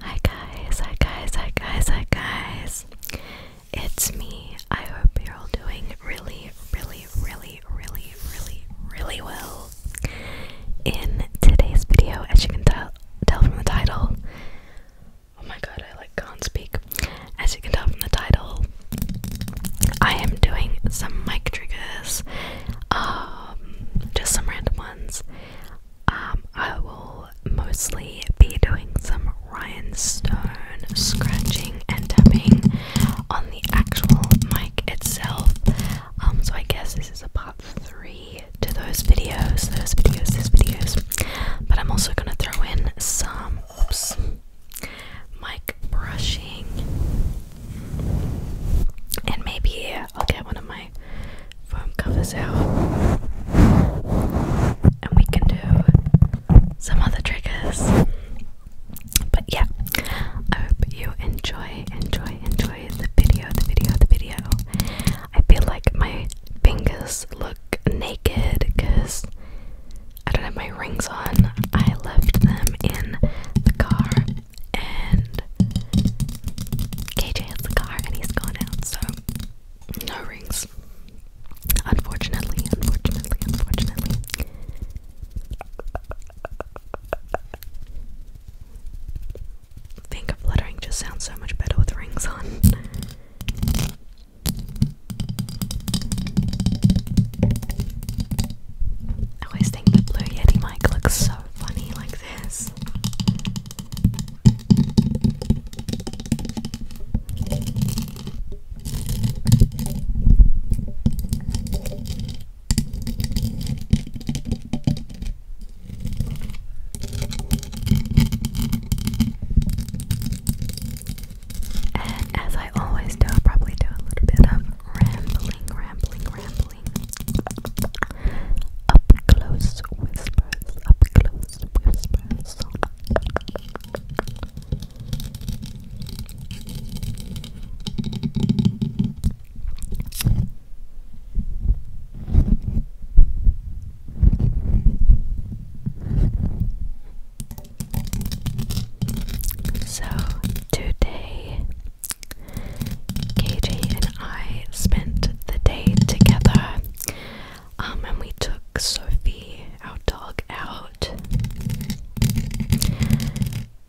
Hi guys, hi guys, hi guys, hi guys. It's me. I hope you're all doing really, really, really, really, really, really well. In today's video, as you can tell, tell from the title, Oh my god, I like can't speak. As you can tell from the title, I am doing some mic triggers, um, just some random ones. Um, I will mostly be doing some Ryan Stone scratching and tapping on the actual mic itself. Um, so I guess this is a part three to those videos, those videos, those videos. But I'm also gonna throw in some Oops. Mic brushing. And maybe I'll get one of my foam covers out. And we can do some other triggers. But yeah, I hope you enjoy, enjoy, enjoy the video, the video, the video. I feel like my fingers look naked because I don't have my rings on. I left them in the car, and KJ has the car and he's gone out, so no rings. Unfortunately, unfortunately, unfortunately. Finger fluttering just sounds so much better with rings on. I always think the Blue Yeti mic looks so funny like this. And as I always do, i probably do a little bit of rambling, rambling, rambling. Up close whispers, up close whispers. So today, KJ and I spent the day together, um, and we took Sophie, our dog, out.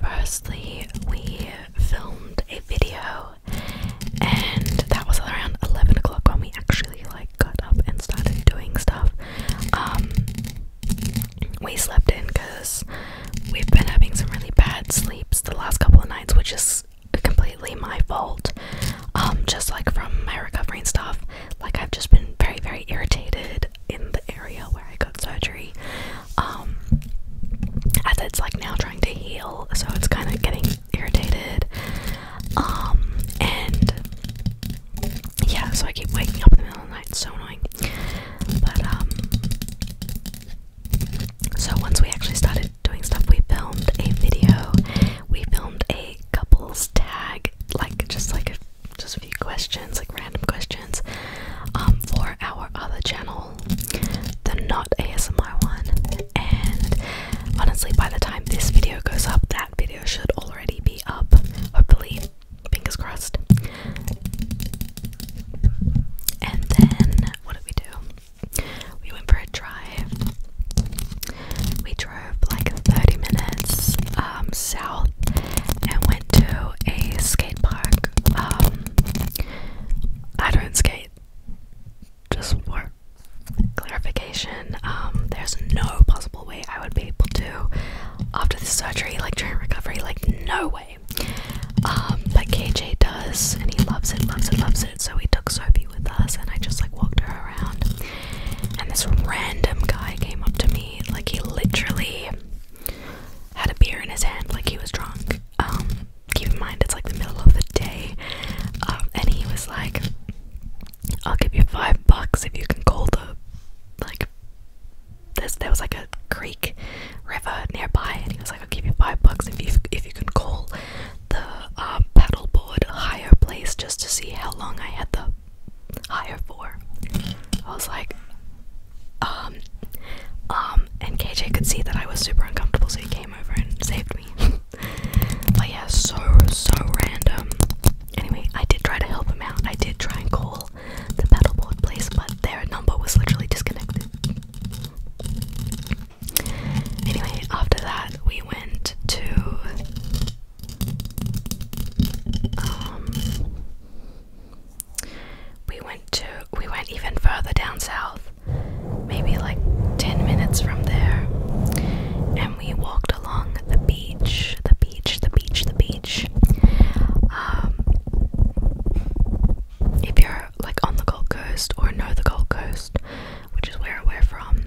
Firstly, we filmed a video, and that was around 11 o'clock when we actually like got up and started doing stuff. Um, we slept in because we've been having some really bad sleeps the last couple of nights, which is completely my fault. Um, just like from my recovery and stuff, like I've just been very, very irritated in the area where I got surgery. Um, as it's like now trying to heal, so it's kind of getting irritated. Um, and yeah, so I keep waking up in the middle of the night, so annoying. But, um, so once we actually started doing stuff, we filmed a video, we filmed a couples tag, like just like just a few questions, like random questions, um, for our other channel, the not ASMR one, and Honestly, by the time this video goes up, that video should already be up. Hopefully, fingers crossed. And then, what did we do? We went for a drive. We drove like 30 minutes um, south and went to a skate park. Um, I don't skate, just work clarification um, there's no possible way i would be able to after the surgery like during recovery like no way um, but kj does and he loves it loves it loves it so he took sophie with us and i just like walked her around and this random guy came up to me like he literally had a beer in his hand like he was drunk um, keep in mind it's like the middle of the day. Um, and he was like, I'll give you five bucks if you can call the like there's there was like a creek river nearby and he was like, I'll give you five bucks if you if you can call the um paddleboard higher place just to see how long I had the higher for. I was like um um and KJ could see that I was super uncomfortable so he came over and saved me. but yeah, so so random. Anyway, I did try to help him out. I did try and call the paddleboard place, but their number was literally disconnected. Anyway, after that, we went to um, we went to we went even further down south maybe like 10 minutes from there. And we walked along the beach, the beach, the beach, the beach. Um, if you're like on the Gold Coast or know the Gold Coast, which is where we're from,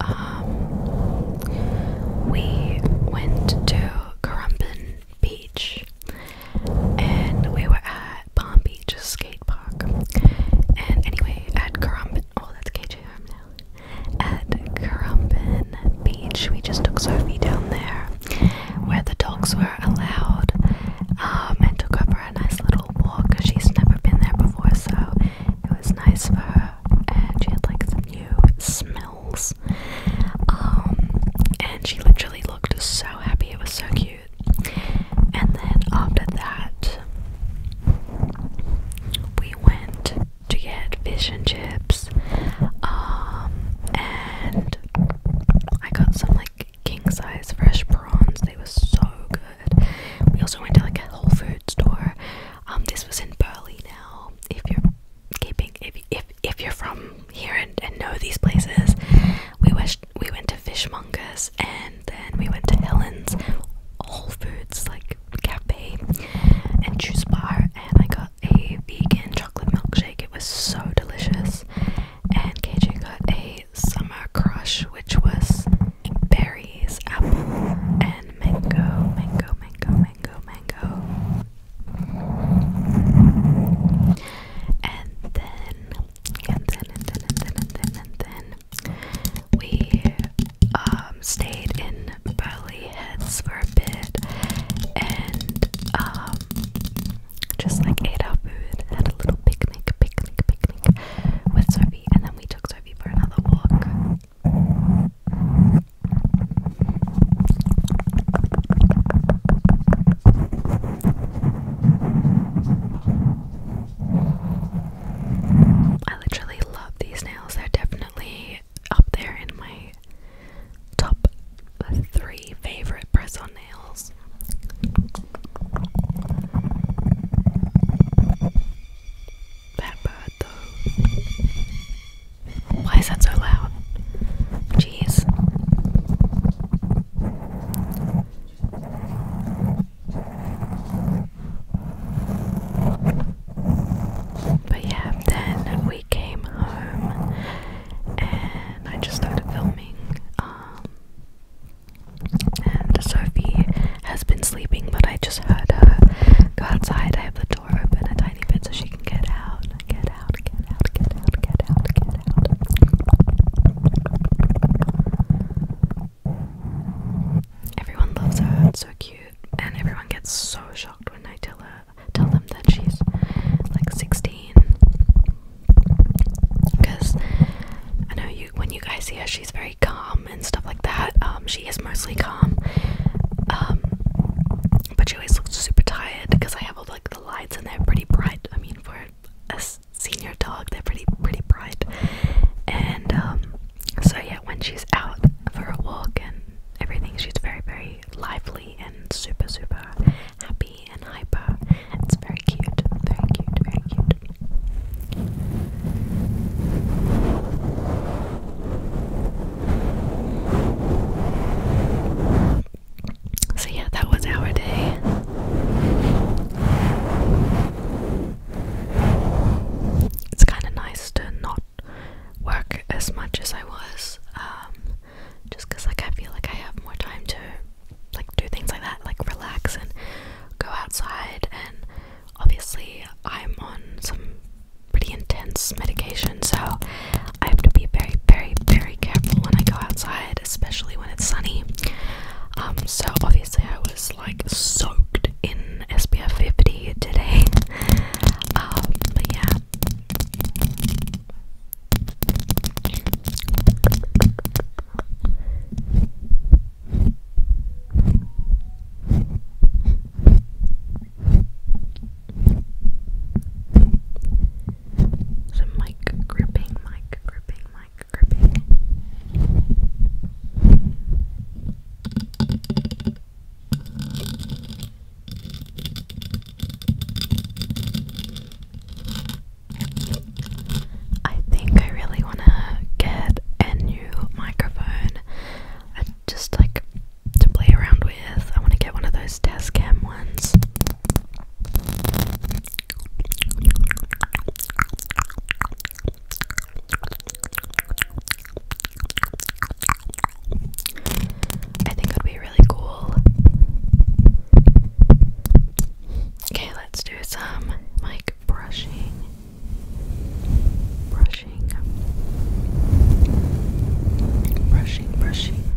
um, we went to Currumbin Beach and we were at Palm Beach Skate Park. And anyway, at Currumbin, oh that's KJ Arm now. At Currumbin Beach, we just took Sophie down there where the dogs were allowed um, and took her for a nice little walk. She's never been there before, so it was nice for her. And she had like some new smells. Um, and she literally looked so happy. It was so cute. And then after that, we went to get fish and chips. Um, and I got some like king size fresh prawns, they were so good. We also went to like a Whole Food store. Um, this was in Burley now. If you're keeping, if, if, if you're from here and, know these places. We went we went to Fishmongers and then we went to Helen's Whole Foods like cafe and juice bar, and I got a vegan chocolate milkshake. It was so delicious. And KJ got a summer crush, which was berries, apple, and mango, mango, mango, mango, mango. And then and then and then and then and then and then we um stayed in Burley Heads for a bit and um just like ate our food, had a little picnic, picnic, picnic with Sophie, and then we took Sophie for another walk. I literally love these nails. They're definitely up there in my top three favorite press on nails. That bird, though. Why is that so loud? Jeez. But yeah, then we came home and I just started filming. Um, and Sophie has been sleeping, but I just heard her go outside. I have the door open a tiny bit so she can get out. Get out, get out, get out, get out, get out. Everyone loves her, it's so cute, and everyone gets so shocked when I tell her tell them that she's like 16. Because I know you when you guys see her, she's very calm and stuff like that. Um, she is mostly calm. Um, but she always looks super tired because I have all like lights and they're pretty bright. I mean, for a senior dog, they're pretty pretty bright. And um, so yeah, when she's out for a walk and everything, she's very very lively and super super happy and hyper. It's very cute, very cute, very cute. So, yeah, that was our day. It's kind of nice to not work as much as I was, um, like, I feel like I have more time to, like, do things like that, like, relax and go outside. And obviously, I'm on some pretty intense medication, so I have to be very, very, very careful when I go outside, especially when it's sunny. Um, so obviously I was like soaked in SPF 50 today. Um, but yeah. Some mic gripping, mic gripping, mic gripping. I think I really want to get a new microphone. I just like to play around with. I want to get one of those desk cam ones. I think it would be really cool. Okay, let's do some like brushing. Brushing. Brushing, brushing.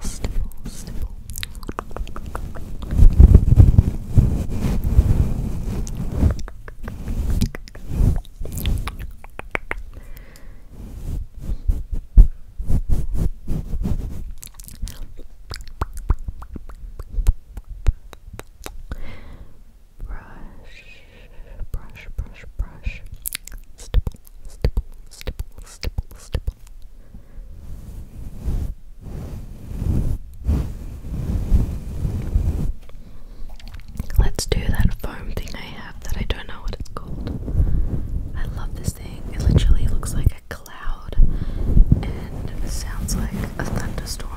stipple, stipple. Brush, brush, brush, brush. Stipple, stipple, stipple, Let's do that foam thing I have that I don't know what it's called. I love this thing. It literally looks like a cloud and it sounds like a thunderstorm.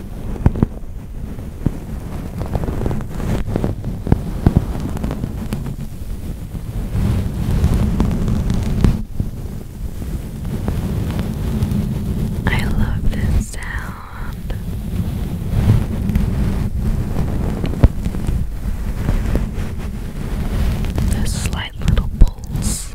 I love this sound. The slight little pulse.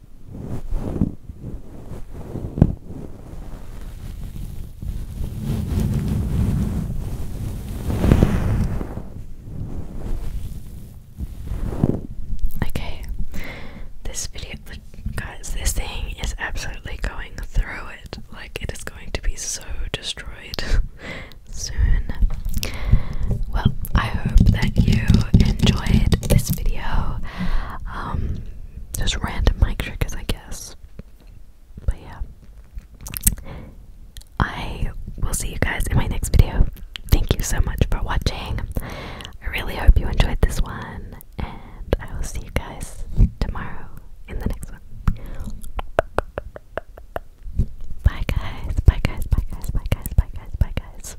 Okay, this video, guys, this thing is absolutely going through it. Like, it is going to be so destroyed soon. Well, I hope that you enjoyed this video. Um, just random mic triggers, I guess. But yeah, I will see you guys in my next video. Thank you so much for watching. I really hope you enjoyed this one, and I will see you guys tomorrow in the next one. Bye guys, bye guys, bye guys, bye guys, bye guys, bye guys.